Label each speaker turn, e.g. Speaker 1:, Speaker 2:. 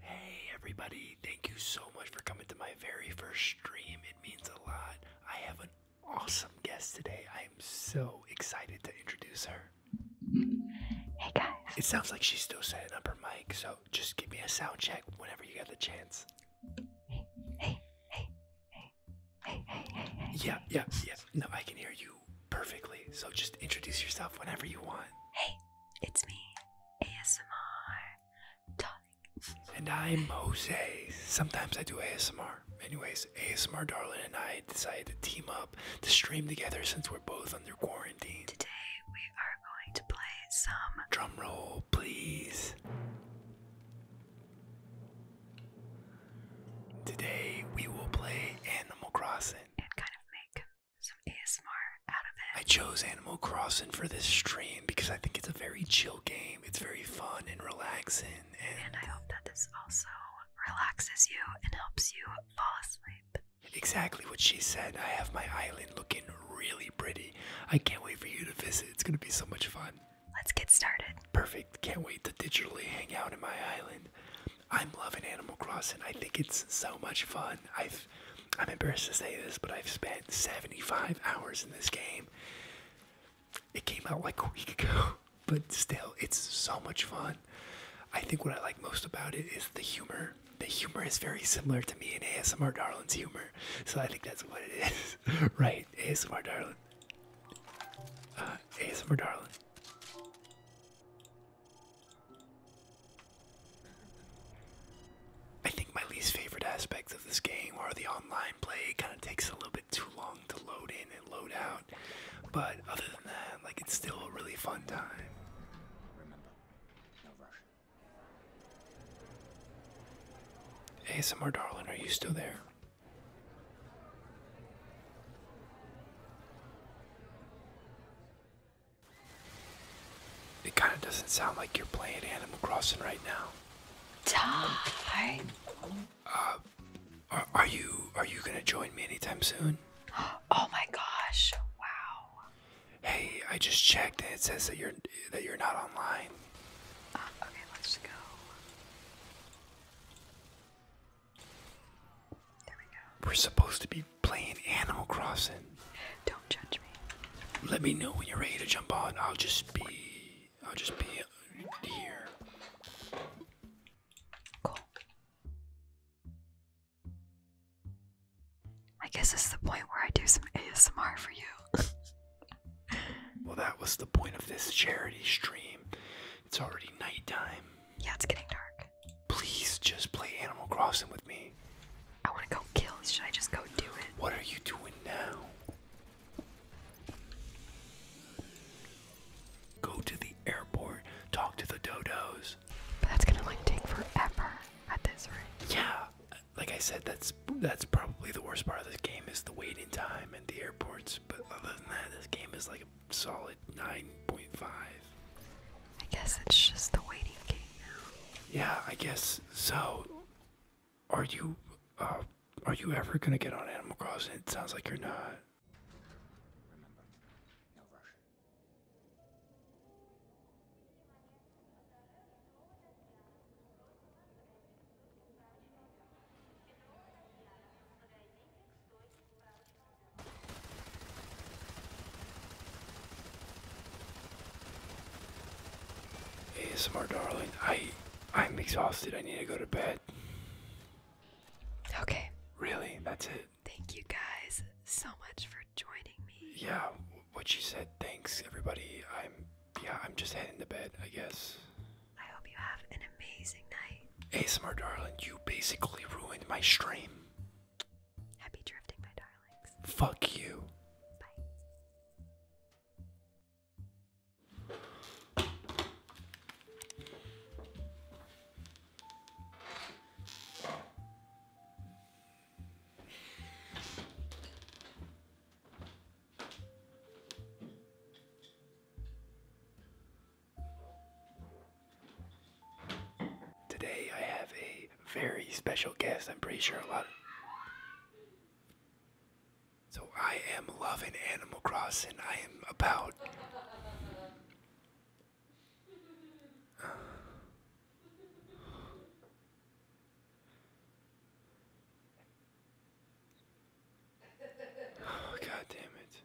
Speaker 1: Hey everybody, thank you so much for coming to my very first stream. It means a lot. I have an awesome guest today. I am so excited to introduce her. Hey guys. It sounds like she's still setting up her mic, so just give me a sound check whenever you get the chance. Hey, hey, hey, hey, hey, hey, hey, Yeah, yeah, yeah. No, I can hear you perfectly. So just introduce yourself whenever you want. Hey, it's me, ASMR, darling. And I'm Jose. Sometimes I do ASMR. Anyways, ASMR Darling and I decided to team up to stream together since we're both under quarantine. Today we are going play some drum roll, please. Today we will play Animal Crossing and kind of make some ASMR out of it. I chose Animal Crossing for this stream because I think it's a very chill game. It's very fun and relaxing. and I hope that this also relaxes you and helps you fall asleep. Exactly what she said. I have my island looking really pretty. I can't wait for you to visit. It's going to be so much fun. Let's get started. Perfect. Can't wait to digitally hang out in my island. I'm loving Animal Crossing. I think it's so much fun. I've I'm embarrassed to say this, but I've spent 75 hours in this game. It came out like a week ago, but still, it's so much fun. I think what I like most about it is the humor. The humor is very similar to me and ASMR Darling's humor, so I think that's what it is, right? ASMR Darling, uh, ASMR Darling. I think my least favorite aspect of this game are the online play. It kind of takes a little bit too long to load in and load out. But other than that, it's still a really fun time. Remember, no rush. ASMR darling, are you still there? It kind of doesn't sound like you're playing Animal Crossing right now. Die. Are, you are you gonna join me anytime soon? Oh my gosh! Wow. Hey, I just checked and it says that you're that you're not online. Ah, okay, let's go. There we go. We're supposed to be playing Animal Crossing. Don't judge me. Let me know when you're ready to jump on. I'll just be I'll just be here. Cool. I guess this is the point where I do some ASMR for you. well, that was the point of this charity stream. It's already nighttime. Yeah, it's getting dark. Please just play Animal Crossing with me. I want to go kill. Should I just go do it? What are you doing now? Go to the airport, talk to the dodos. But that's gonna like take forever at this rate. Yeah, like I said, that's that's probably the worst part of this game is the waiting time at the airports. But other than that, this game is like a solid nine point five. I guess it's just the waiting game now. Yeah, I guess so. Are you, uh, are you ever gonna get on Animal Crossing? It sounds like you're not. ASMR darling, I I'm exhausted. I need to go to bed. Okay. Really? That's it. Thank you guys so much for joining me. Yeah, what you said. Thanks everybody. I'm yeah, I'm just heading to bed, I guess. I hope you have an amazing night. ASMR darling, you basically ruined my stream. Happy drifting, my darlings. Fuck you. Bye. Today I have a very special guest. I'm pretty sure a lot of so I am loving Animal Crossing. I am about. oh, God damn it.